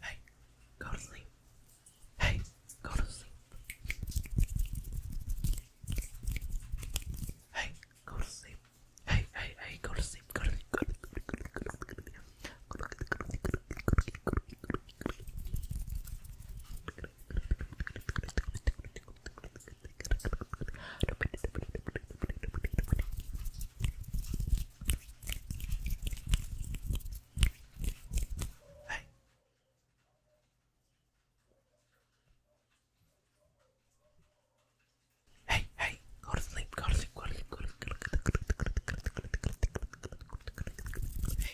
Hey, go to sleep. Hey, go to sleep. Hey, go to sleep. Hey, hey, hey, go to sleep. Go to sleep. Go to sleep. Go to sleep. Go to sleep. Hey. Hey, hey, go to sleep, go to sleep, go to sleep, go to sleep,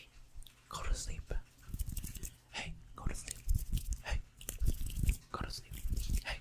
Hey, go to sleep. Hey, go to sleep. Hey, go to sleep. Hey,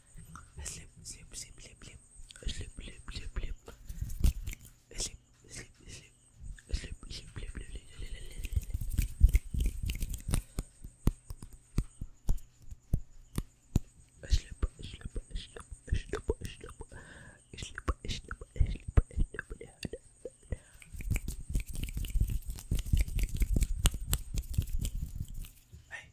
Sleep, sleep, sleep, sleep, sleep, sleep, sleep, sleep, sleep, sleep, sleep, sleep, sleep, sleep, sleep, Hey,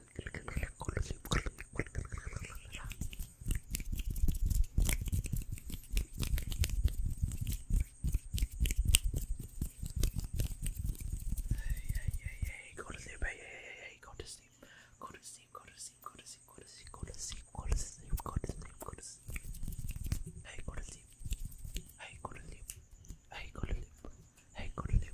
hey, hey, hey, go to sleep, hey, hey, hey, hey, go to sleep, go to sleep, go to sleep, go to sleep, go to sleep, go to sleep, go to sleep, go to sleep, go to sleep, hey, go to sleep, hey, go to sleep, hey, go to sleep, hey, go to sleep,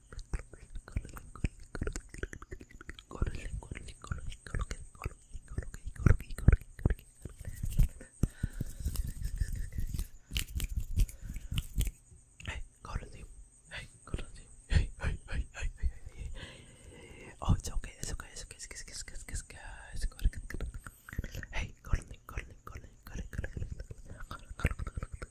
Hey, go to sleep. Hey, go to sleep. Hey, hey, hey, hey, hey, hey, hey. Oh, it's okay. It's okay. It's okay. It's okay. It's okay. It's okay. It's okay. Hey, go to sleep. Go to sleep. Go to sleep. Go to sleep. Go to sleep. Go to sleep.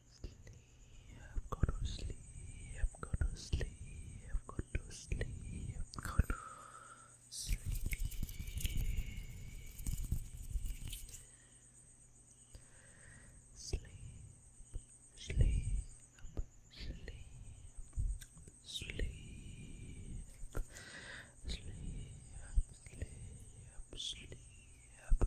to sleep, go to sleep, go to sleep, go to sleep. Sleep, sleep, sleep, sleep, sleep, sleep, sleep.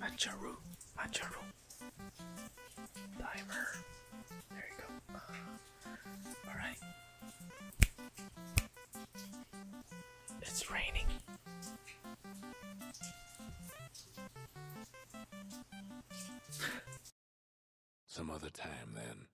Macharu, Macharu, Diver. There you go. Uh, all right. It's raining. Some other time then.